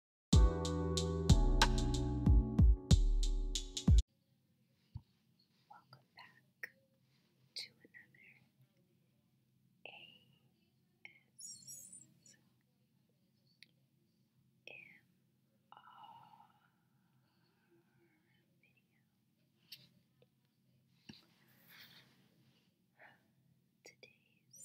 Welcome back to another ASMR video. Today's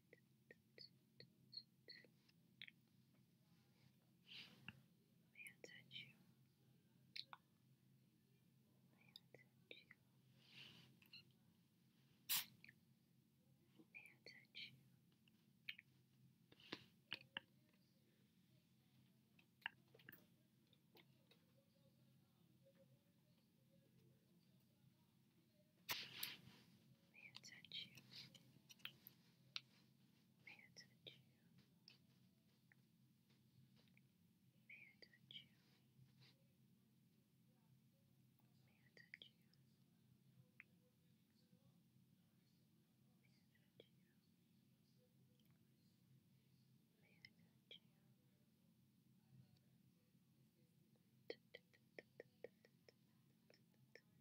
May I touch you? May I touch you? May I touch you? May I touch you? May I touch you? May I touch you? May I touch you? May I touch you? May I touch you? May I touch you? May I touch you?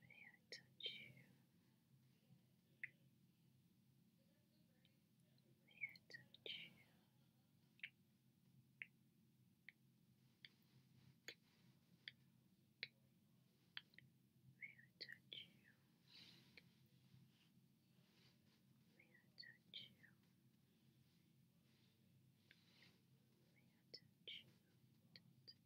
May I touch you? May I touch you? May I touch you? May I touch you? May I touch you? you?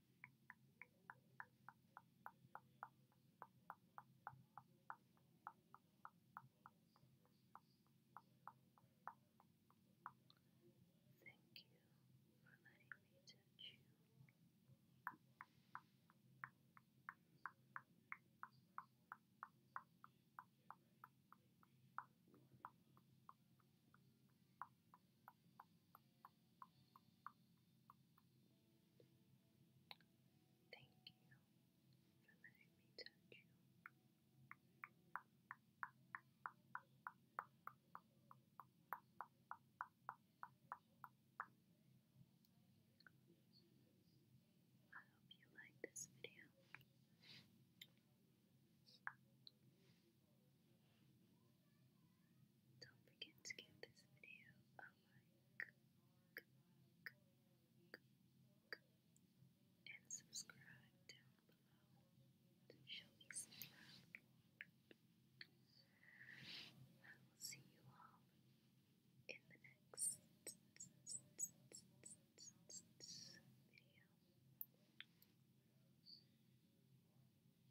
Thank you for letting me touch you. Thank you for Thank you for letting me touch you. I hope you like this video. Don't forget to give this video a like and subscribe down below. Shall we see that? I will see you all in the next video.